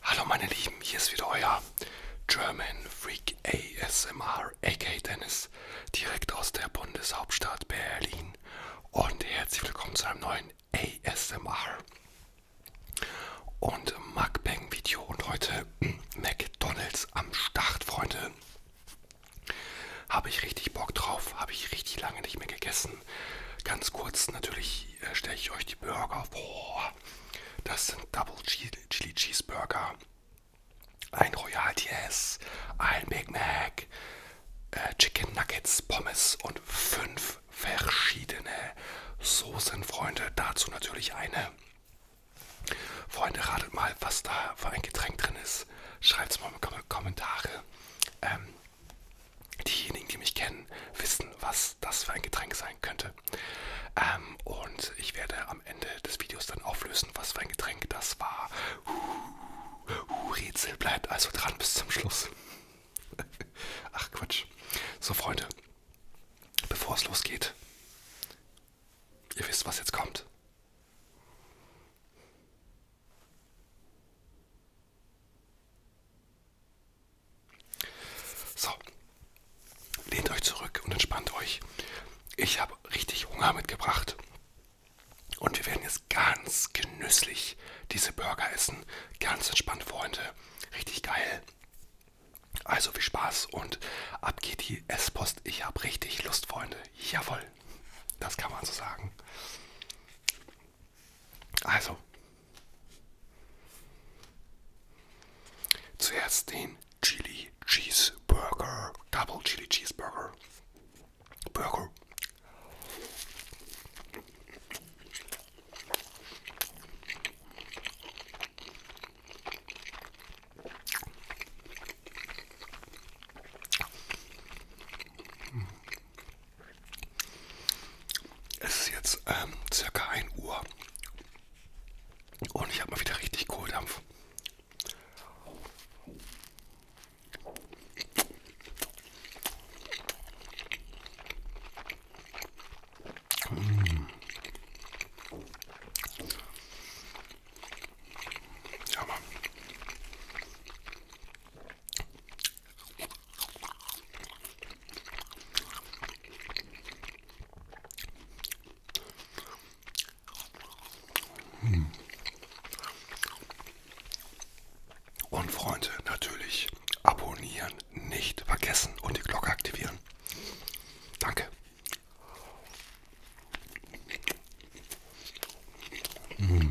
Hallo meine Lieben, hier ist wieder euer German Freak ASMR AK Dennis direkt aus der Bundeshauptstadt Berlin und herzlich willkommen zu einem neuen ASMR und Mukbang Video und heute hm, McDonalds am Start, Freunde. Habe ich richtig Bock drauf, habe ich richtig lange nicht mehr gegessen. Ganz kurz, natürlich äh, stelle ich euch die Burger vor. Das sind Double Chili Cheeseburger, ein Royal DS, ein Big Mac, äh, Chicken Nuggets, Pommes und fünf verschiedene Soßen, Freunde. Dazu natürlich eine. Freunde, ratet mal, was da für ein Getränk drin ist. Schreibt es mal in die Kommentare. Ähm, diejenigen, die mich kennen, wissen, was was das für ein Getränk sein könnte. Ähm, und ich werde am Ende des Videos dann auflösen, was für ein Getränk das war. Uh, uh, Rätsel bleibt also dran bis zum Schluss. Ach Quatsch. So Freunde, bevor es losgeht, ihr wisst, was jetzt kommt. So, lehnt euch zurück und entspannt euch. Ich habe richtig Hunger mitgebracht. Und wir werden jetzt ganz genüsslich diese Burger essen. Ganz entspannt, Freunde. Richtig geil. Also viel Spaß und ab geht die Esspost. Ich habe richtig Lust, Freunde. Jawohl. Das kann man so sagen. Also, Zuerst den Chili Cheeseburger, Double Chili Cheeseburger. Burger. Es ist jetzt ähm, circa 1 Uhr und ich habe mal wieder richtig Kohldampf. Mm. Hm. Und Freunde, natürlich abonnieren, nicht vergessen und die Glocke aktivieren. Danke. Mm.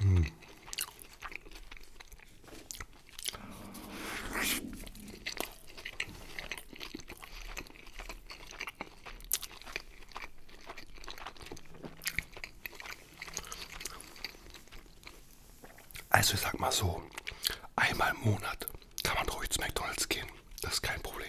Hm. Also ich sag mal so, einmal im Monat kann man ruhig zu McDonalds gehen. Das ist kein Problem.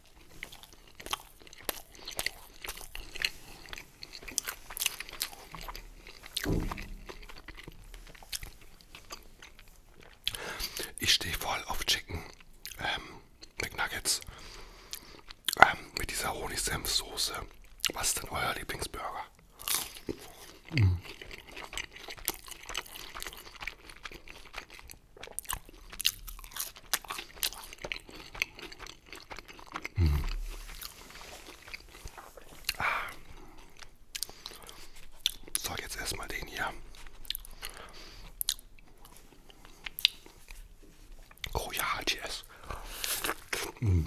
Ich stehe voll auf Chicken ähm, McNuggets ähm, mit dieser Honigsenfsoße. Was ist denn euer Lieblingsburger? Mm. Hm. Ah. So, jetzt erstmal den hier. Oh ja, cheers. Hm.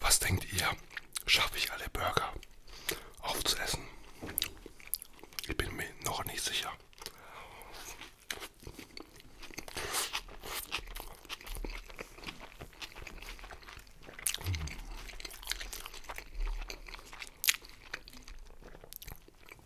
Was denkt ihr? Schaffe ich alle Burger aufzuessen? Ich bin mir noch nicht sicher.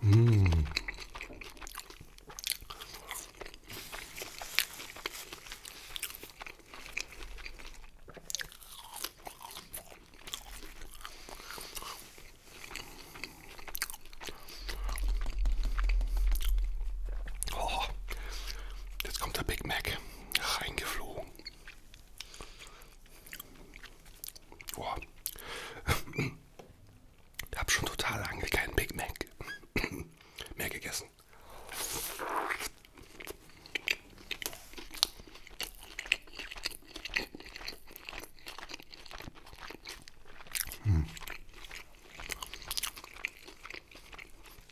Mmh. Oh, jetzt kommt der Big Mac reingeflogen. Oh. Ich habe schon total lange keinen Big Mac mehr gegessen. Hm.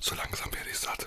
So langsam werde ich satt.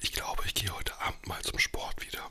Ich glaube, ich gehe heute Abend mal zum Sport wieder.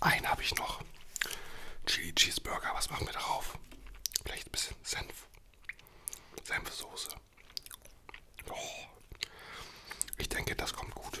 Einen habe ich noch. Chili Cheeseburger. Was machen wir darauf? Vielleicht ein bisschen Senf. Senfsoße. Oh. Ich denke, das kommt gut.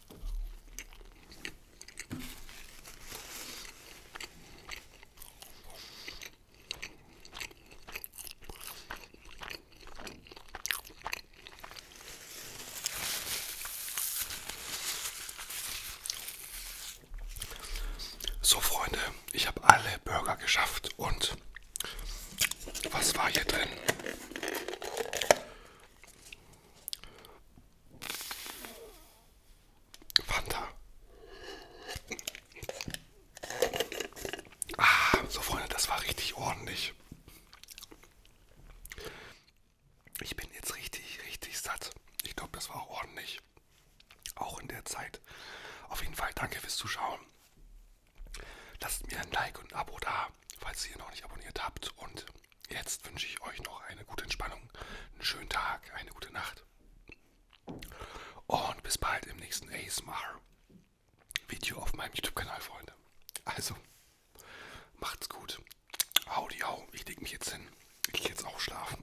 So Freunde, ich habe alle Burger geschafft und was war hier drin? Fanta. Ah, so Freunde, das war richtig ordentlich. Ich bin jetzt richtig, richtig satt. Ich glaube, das war auch ordentlich. Auch in der Zeit. Auf jeden Fall danke fürs Zuschauen. Lasst mir ein Like und ein Abo da, falls ihr noch nicht abonniert habt. Und jetzt wünsche ich euch noch eine gute Entspannung, einen schönen Tag, eine gute Nacht. Und bis bald im nächsten ASMR-Video auf meinem YouTube-Kanal, Freunde. Also, macht's gut. Howdy, hau. Ich leg mich jetzt hin. Ich gehe jetzt auch schlafen.